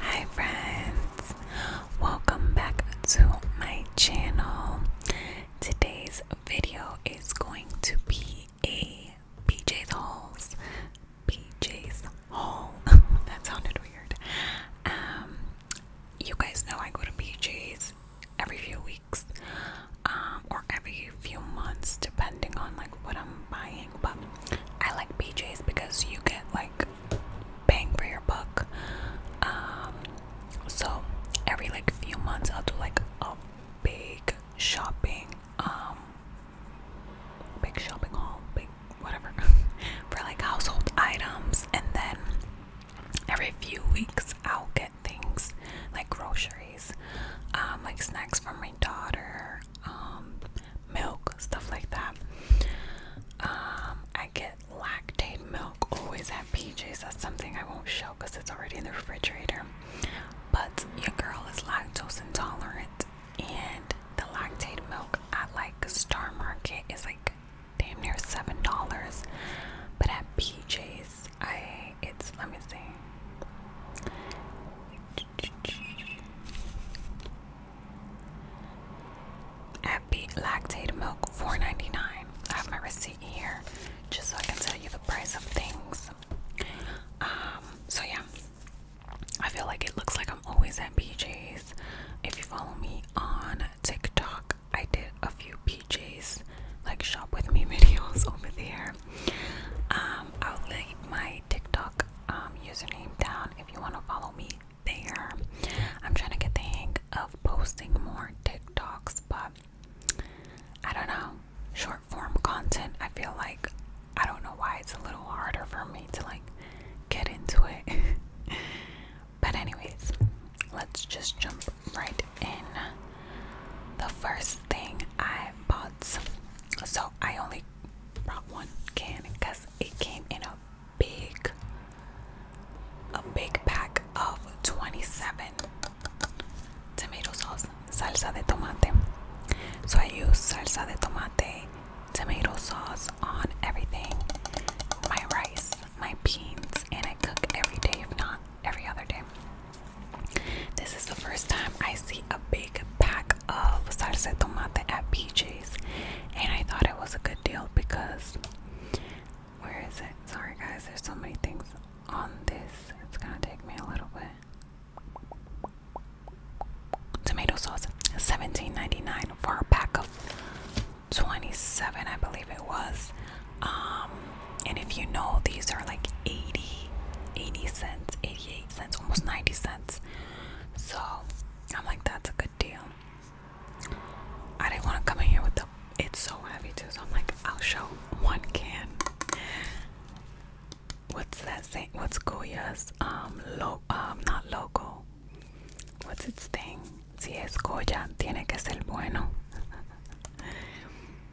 Hi friends, welcome back to my channel. Today's video is going to be a PJ's hauls. PJ's haul. that sounded weird. Um, you guys know I go to PJ's every few weeks, um, or every few months, depending on like what I'm buying. But I like PJ's because you get like like bang for your buck. Um, so every like few months, I'll do like a big shopping, um, big shopping haul, big whatever, for like household items, and then every few weeks, I'll get things like groceries, um, like snacks for my daughter, um, milk, stuff like that. Um, I get lactate milk always at PJ's. That's something I won't show because it's already in the refrigerator. But your girl is lactose intolerant, and the lactate milk at like Star Market is like damn near seven dollars. But at PJ's, I it's let me see. Happy lactate milk, $4.99. I have my receipt here just so I can tell you the price of things. Um, so yeah. I feel like it looks like I'm always at PJs. If you follow me on TikTok, I did a few PJs like shop with me videos over there. Um, I'll leave my TikTok um, username down if you want to follow me there. I'm trying to get the hang of posting more TikToks, but I don't know. Short form content, I feel like I don't know why it's a little harder for me to like get into it. but, anyways, let's just jump right in. The first thing I bought, so I only brought one can because it came in a big a big pack of 27 tomato sauce salsa de tomate so i use salsa de tomate tomato sauce on everything my rice my beans and i cook every day if not every other day this is the first time i see a big pack pack of salsa de at PJ's, and I thought it was a good deal because where is it? Sorry, guys, there's so many things on this, it's gonna take me a little bit. Tomato sauce, $17.99 for a pack of 27, I believe it was. Um, and if you know, these are like 80, 80 cents, 88 cents, almost 90 cents. So I'm like, that's a good deal. I didn't want to come in here with the. It's so heavy too, so I'm like, I'll show one can. What's that saying? What's Goya's um lo um not logo? What's its thing? Si es Goya, tiene que ser bueno.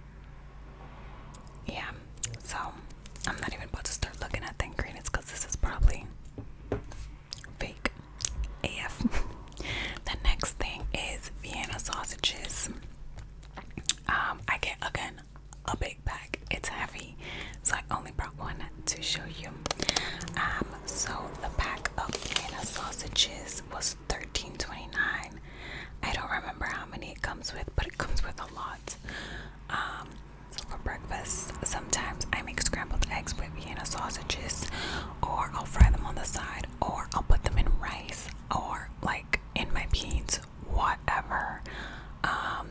yeah. So I'm not even about to start looking at the ingredients because this is probably fake AF. the next thing is Vienna sausages. Um, I get again a big pack. It's heavy, so I only brought one to show you. Um, so the pack of Vienna sausages was 13.29. I don't remember how many it comes with, but it comes with a lot. Um, for breakfast, sometimes I make scrambled eggs with Vienna sausages, or I'll fry them on the side, or I'll put them in rice, or like in my beans, whatever. Um,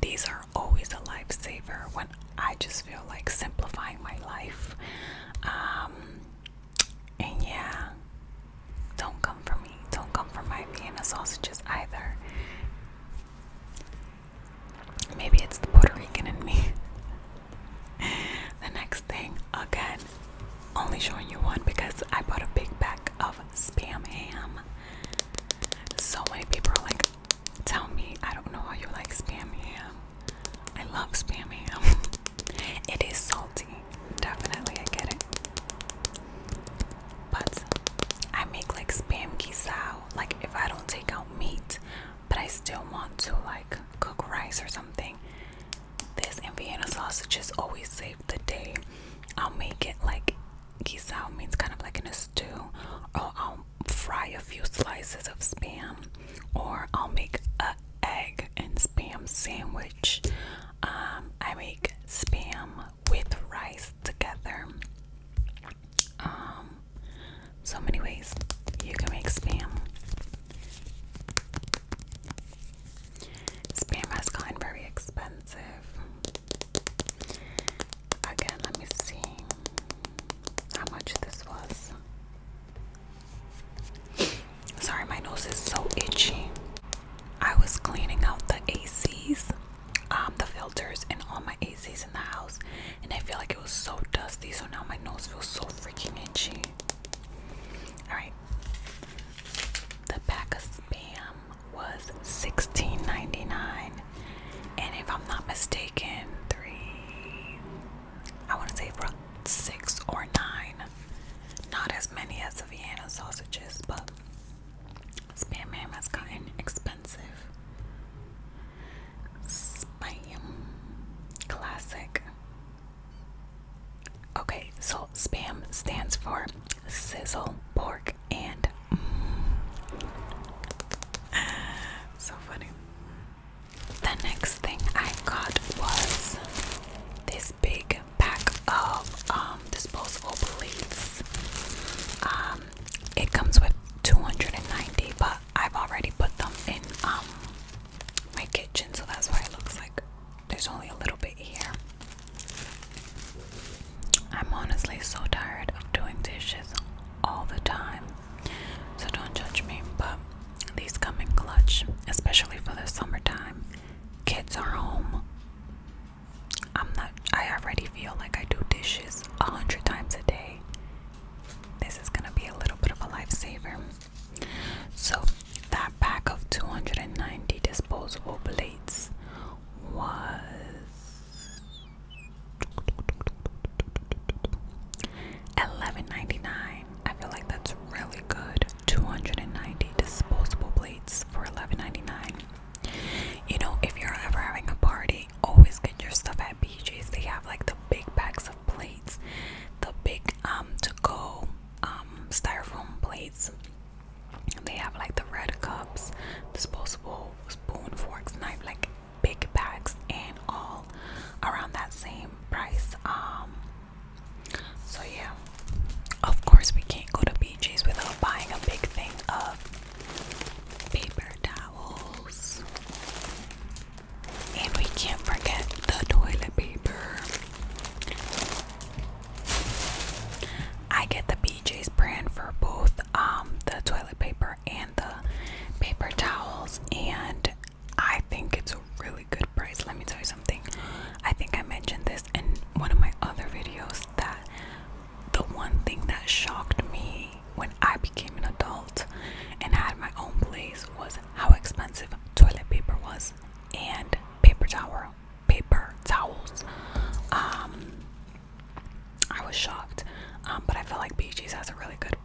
these are always a lifesaver when I just feel like simplifying my life. Um, and yeah, don't come for me. Don't come for my Vienna sausages either. Maybe it's the Puerto Rican in me. the next thing, again, only showing you one because I bought a big pack of spam ham. So many people like, tell me, I don't know how you like spam ham. I love spam ham. it is salty. Definitely, I get it. But I make like spam guisao, like if I don't take out meat, but I still want to like cook rice or something. This Indiana sausage has always saved the day. I'll make it like guisao means kind of like in a stew, or I'll fry a few slices of spam, or I'll make a egg and spam sandwich. Um, I make spam with rice together. Um, so many ways you can make spam. Spam has gotten very expensive. Again, let me see how much this was. Sorry, my nose is so itchy. I was cleaning out the ACs um, the filters and all my ACs in the house, and I feel like it was so dusty, so now my nose feels so freaking itchy. Alright, the pack of spam was 16 and if I'm not mistaken, three I want to say six or nine, not as many as the Vienna sausages, but Spam has gotten expensive. Spam classic. Okay, so spam stands for sizzle pork and mm. so funny. The next thing I got was this big pack of um disposable plates. Um it comes with 290 but I've already put them in um my kitchen so that's why it looks like there's only a little bit here. I'm honestly so tired of doing dishes all the time. So don't judge me, but these come in clutch, especially for the summertime. Kids are home. I'm not, I already feel like I do dishes a hundred times a day. This is gonna be a little bit of a lifesaver. So, that pack of 290 disposable blades was eleven ninety nine. I feel like that's really good. 290 disposable blades for eleven ninety nine. You know, if you're ever having a party, always get your stuff at BJ's. They have like the big packs of plates, the big um to go um styrofoam plates. They have like the red cups, disposable spoons, forks, knife, like big bags, and all around that same price. Um, so yeah, of course we can't go to BJ's without buying a big thing of paper towels, and we can't forget the toilet paper. I get the BJ's brand for both um, the toilet paper and the paper towels, and I think it's a really good price. Let me tell you something. I think I mentioned this in one of my other videos that the one thing that shocked me when I became an adult and had my own place was how expensive toilet paper was and paper towel, paper towels. Um, I was shocked, um, but I feel like BG's has a really good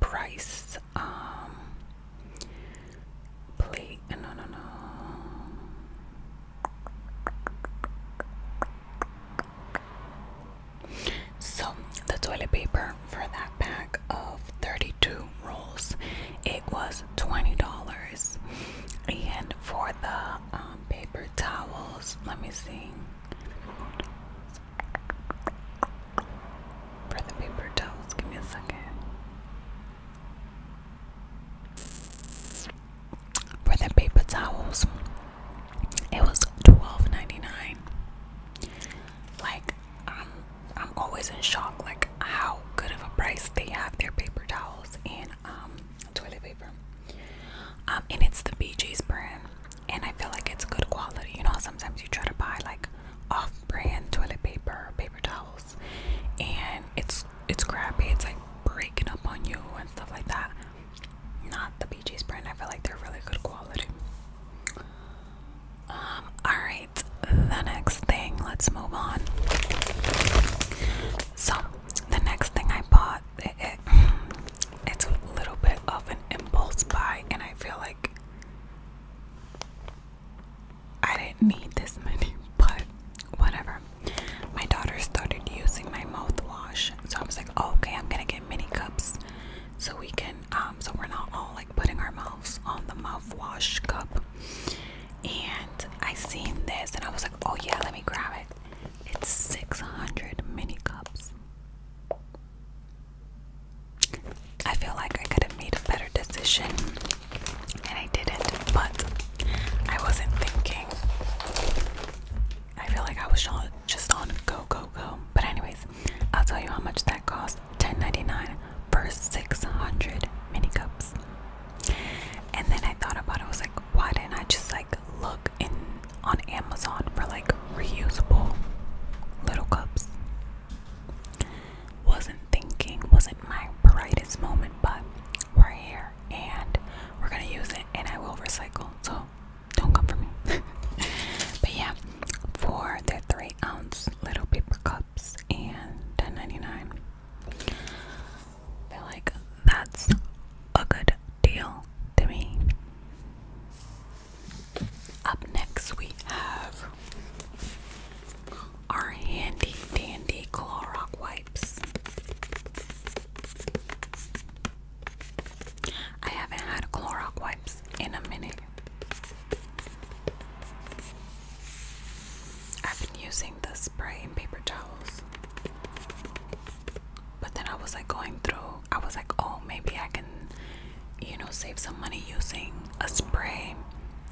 price. Um, plate, no, no, no. So, the toilet paper for that pack of 32 rolls, it was $20. And for the um, paper towels, let me see. For the paper towels, give me a second for the paper towels. It was $12.99. Like I'm I'm always in shock like how good of a price they have their paper towels and um toilet paper. Um and it's the BJ's brand and I feel like it's good quality. You know sometimes you try to buy like off brand toilet paper, paper towels and it's it's crappy, it's like breaking up on you and stuff like that not the Bee brand. I feel like they're really good quality. Um, alright, the next thing, let's move on. So, the next thing I bought, it's a little bit of an impulse buy, and I feel like I didn't need this many, but whatever. My daughter started using my mouthwash, so I was like, oh, okay, I'm gonna get mini cups so we can, um, so we're not all like putting our mouths on the mouthwash cup. And I seen this, and I was like, oh yeah, let me grab it. It's 600 mini cups. I feel like I could have made a better decision and I didn't, but I wasn't thinking I feel like I was just on go go go. But anyways, I'll tell you how much that cost. $10.99 per 600 mini cups. And then I thought about it. I was like, why didn't I just like look in on Amazon for like reusable little cups? Wasn't thinking, wasn't my brightest moment, but we're here and we're gonna use it and I will recycle so don't come for me but yeah for the three ounce little paper cups and 10.99 feel like that's a good deal to me up next we have our handy dandy Clorox wipe I haven't had Clorox wipes in a minute. I've been using the spray and paper towels. But then I was like going through, I was like, oh, maybe I can, you know, save some money using a spray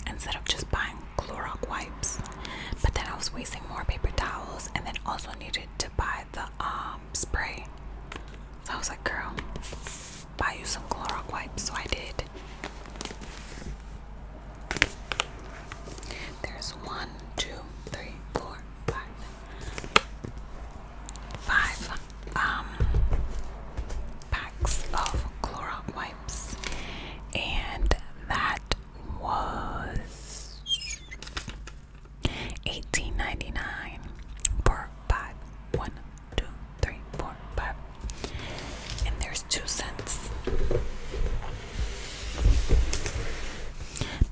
instead of just buying Clorox wipes. But then I was wasting more paper towels and then also needed to buy the um, spray. So I was like, girl, buy you some Clorox wipes. So I did. There's one, two, three, um, packs of Clorox wipes. And that was Eighteen ninety dollars five. One, two, three, four, five. And there's two cents.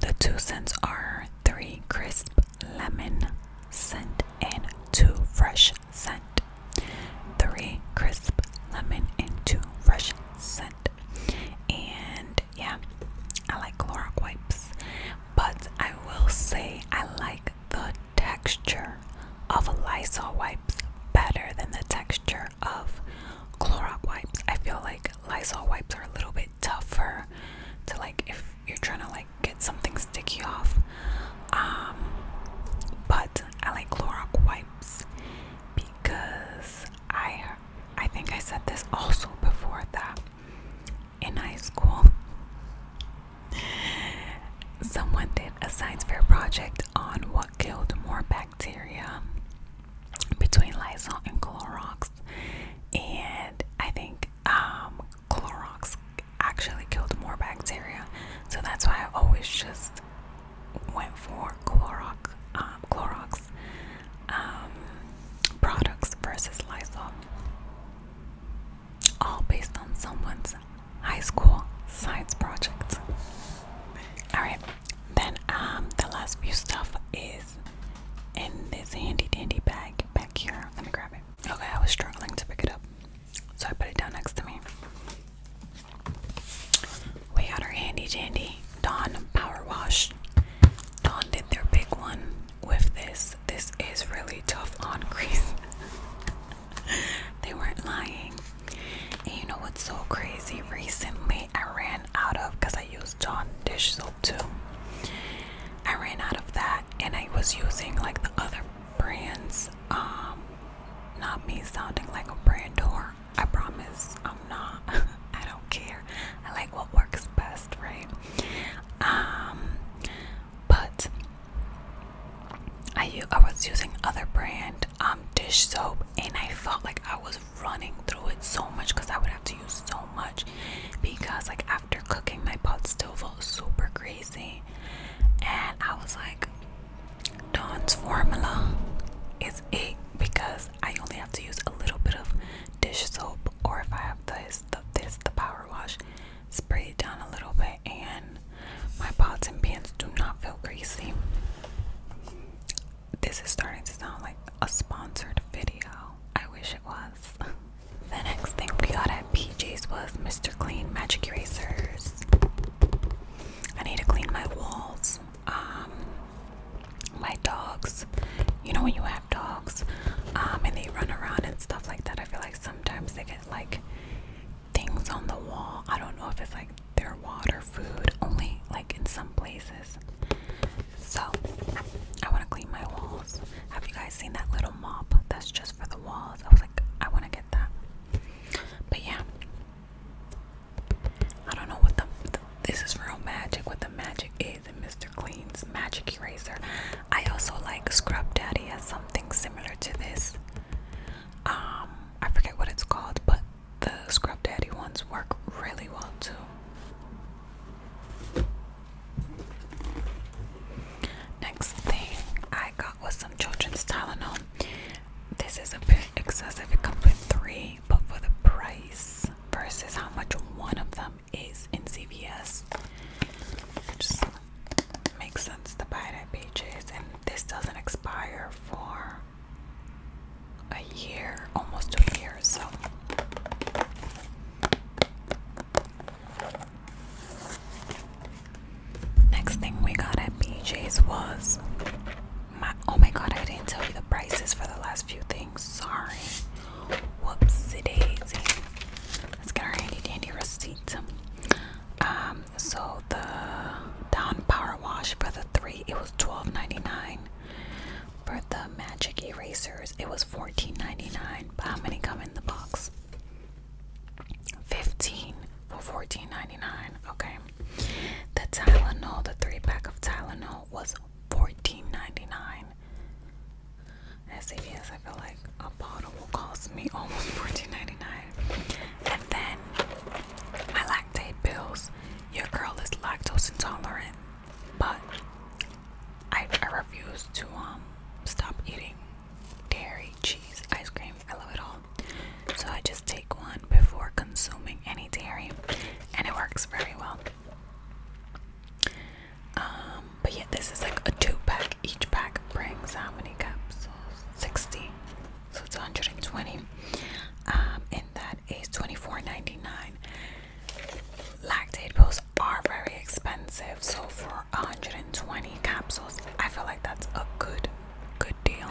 The two cents are three crisp lemon scent and two fresh scent. Three crisp lemon and two fresh scent. And yeah, I like Clorox wipes, but I will say I like the texture of Lysol wipes better than the texture of Clorox wipes. I feel like Lysol wipes are a little bit tougher to like if you're trying to like get something sticky off. Um, but I like Clorox wipes because I I think I said this also before that in high school someone did a science fair project on what killed more bacteria between Lysol and Clorox and I think um Clorox actually killed more bacteria so that's why I always just went for Clorox, um, um, products versus Lysol, all based on someone's high school science project. All right, then um, the last few stuff is in this handy dandy bag back here. Let me grab it. Okay, I was struggling to pick it up, so I put it down next to me. We got our handy dandy Dawn Power Wash. Dawn did their big one with this. This is really tough on grease. they weren't lying. And you know what's so crazy? Recently, I ran out of because I used Dawn dish soap too. I ran out of that, and I was using like the other brands. Um, not me sounding like a brand or I promise I'm not. I don't care. I like what works best, right? Um, but I use I was using other brand um dish soap, and I felt like I was running through it so much because I would have to use so much because like after cooking, my pot still felt super crazy, and I was like, Dawn's formula is it because I only have to use a little bit of dish soap, or if I have this, the, this the power wash, spray it down a little bit, and my pots and pans do not feel greasy. This is starting to sound like a sponsored video. I wish it was. the next thing we got at PJ's was Mr. Clean Magic Erasers. I need to clean my walls um my dogs you know when you have dogs um and they run around and stuff like that i feel like sometimes they get like things on the wall i don't know if it's like their water food only like in some places so i want to clean my walls have you guys seen that little mop that's just for the walls i was like i want to get that but yeah I don't know what the, this is real magic. What the magic is in Mr. Clean's magic eraser. I also like Scrub Daddy has something similar to this. Um, I forget what it's called, but the Scrub Daddy ones work really well too. Next thing I got was some children's Tylenol. This is a bit excessive. It comes with three, but for the price versus how much one of them is in CVS, just makes sense to buy it at Pages. And this doesn't expire for a year, almost two years. So. Next thing we got at BJ's was oh my god, I didn't tell you the prices for the last few things. Sorry. Whoopsie daisy. Let's get our handy dandy receipt. Um, so the down power wash for the three, it was $12.99. For the magic erasers, it was $14.99. But how many come in the box? 15 for $14.99. Okay. The Tylenol, the three pack of Tylenol was $14.99. As I feel like a bottle will cost me almost $14.99. And then my lactate pills. Your girl is lactose intolerant, but I, I refuse to um stop eating dairy, cheese, ice cream. I love it all. So I just take one before consuming any dairy, and it works very well. Um, but yeah, this is like a two pack. Each pack brings how many capsules? 60. So it's 120. Um, and that is 24.99. Lactate pills are very expensive, so for 120 capsules, I feel like that's a good, good deal.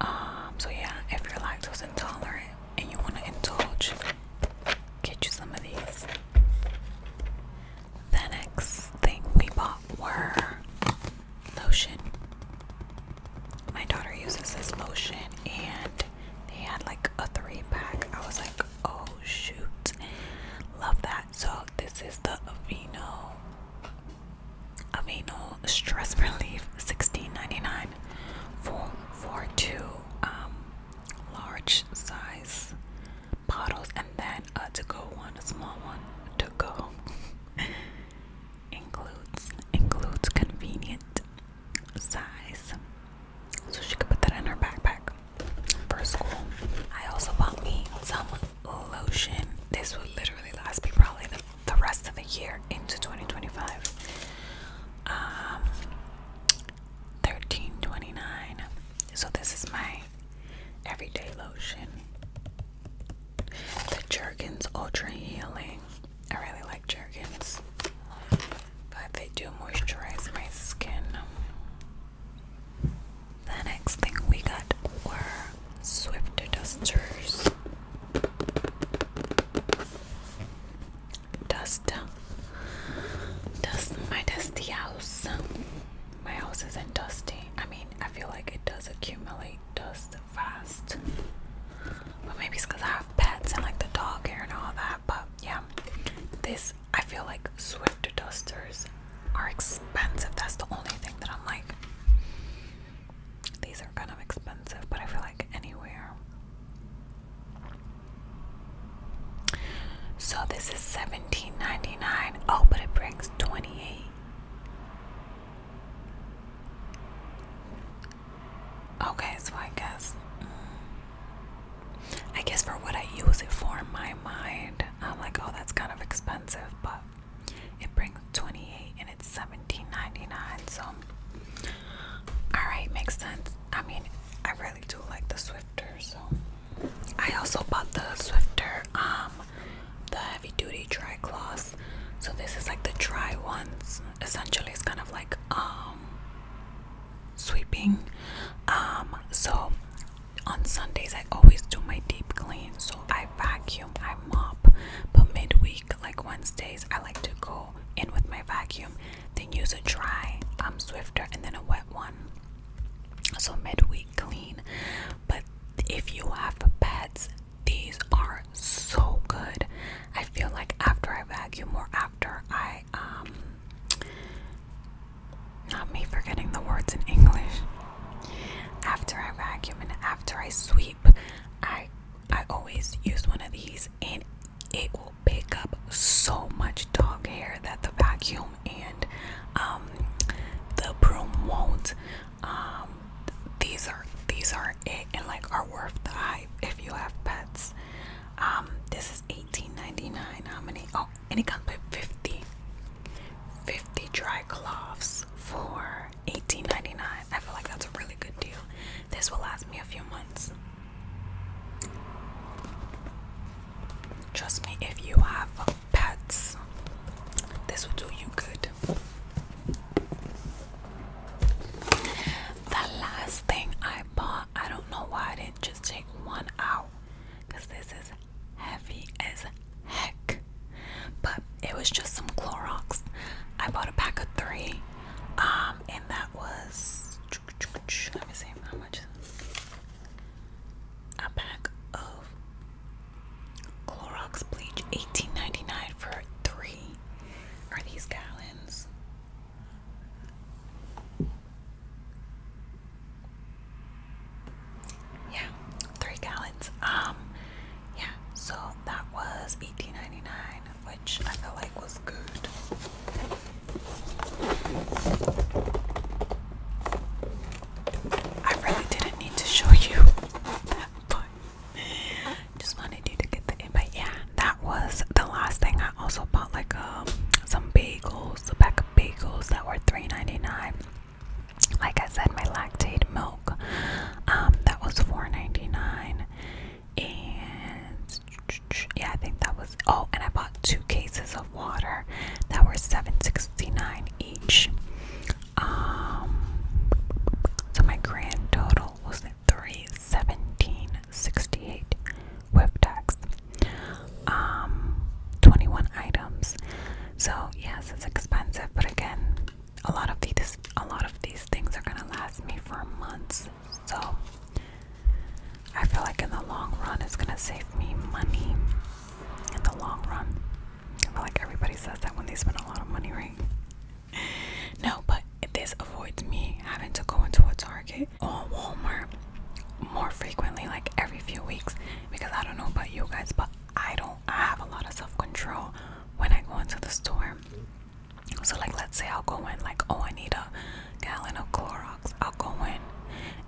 Um, so yeah, if you're lactose intolerant and you want to indulge, get you some of these. The next thing we bought were lotion. My daughter uses this lotion and they had like a three pack. I was like, oh shoot. Love that. So this is the Aveeno Aveeno Stress Relief, $16.99 for, for two um, large size bottles and then a uh, to go one, a small one to go. includes includes convenient size. So she could put that in her backpack for school. I also bought me some lotion. This would literally last me probably the the rest of the year into 2025. Um, 1329. So this is my everyday lotion. The Jergens Ultra Healing. I really like Jergens, but they do moisturize my skin. The next thing we got were Swifter dusters. Dust. my dusty house. My house isn't dusty. I mean, I feel like it does accumulate dust fast. But maybe it's because I have pets and like the dog hair and all that. But yeah, this, I feel like Swift dusters are expensive. That's the only thing that I'm like, these are kind of expensive, but I feel like anywhere. So this is seventeen ninety nine. Oh, but it brings twenty eight. Okay, so I guess. Mm, I guess for what I use it for in my mind, I'm like, oh, that's kind of expensive, but it brings 28 and it's So, alright, makes sense. I mean, I really do like the Swifter. So, I also bought the Swifter, um, the heavy duty dry cloths. So, this is like the dry ones. Essentially, it's kind of like, um, sweeping. Um, so on Sundays, I always do my deep clean. So I vacuum, I mop, but midweek like Wednesdays, I like to go in with my vacuum, then use a dry um, swifter and then a wet one. So midweek clean. But if you have pets, these are so good. I feel like after I vacuum more, after I um not me forgetting the words in English. After I vacuum and after I sweep i i always use one of these and it will pick up so much dog hair that the vacuum and um, the broom won't um, these are these are it and like are worth the hype if you have pets um, this is 18.99 how many oh any kind of with 50 50 dry cloths for 18 I feel like that's a really good deal. This will last me a few months. Trust me, if you have pets, this will do you good. The last thing I bought, I don't know why I didn't just take one out because this is heavy as heck but it was just some Clorox. I bought a pack of three, um, and that was let me see how much a pack of Clorox bleach, eighteen ninety nine for three. Are these gallons? Yeah, three gallons. Um, yeah, so that was eighteen ninety nine, which I felt like was good. I really didn't need to show you that, but just wanted you to get the invite. Yeah, that was the last thing. I also bought like um some bagels, a pack of bagels that were 3 Like I said, my lactate milk um, that was $4.99. And yeah, I think that was oh, and I bought two cases of water that were $7.69 each. Um so my grand total was three seventeen sixty eight with tax. Um 21 items. So yes, it's expensive, but again, a lot of these a lot of these things are gonna last me for months so I feel like in the long run it's gonna save me money in the long run I feel like everybody says that when they spend a lot of money right no but this avoids me having to go into a Target or Walmart more frequently like every few weeks because I don't know about you guys but I don't I have a lot of self control when I go into the store. So, like, let's say I'll go in, like, oh, I need a gallon of Clorox. I'll go in,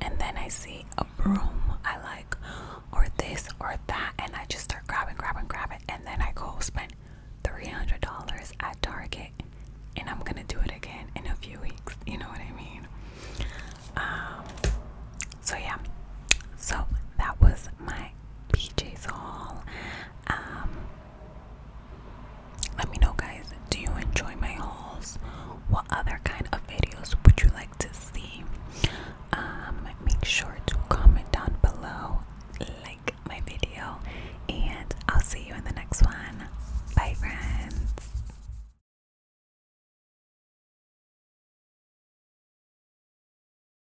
and then I see a broom I like, or this or that, and I just start grabbing, grabbing, grabbing, and then I go spend $300 at Target, and I'm gonna do it again in a few weeks. You know what I mean? Um, so, yeah, so that was my PJs haul. Um, let me know, guys. Do you enjoy my hauls? What other kind of videos would you like to see? Um, make sure to comment down below, like my video, and I'll see you in the next one. Bye, friends.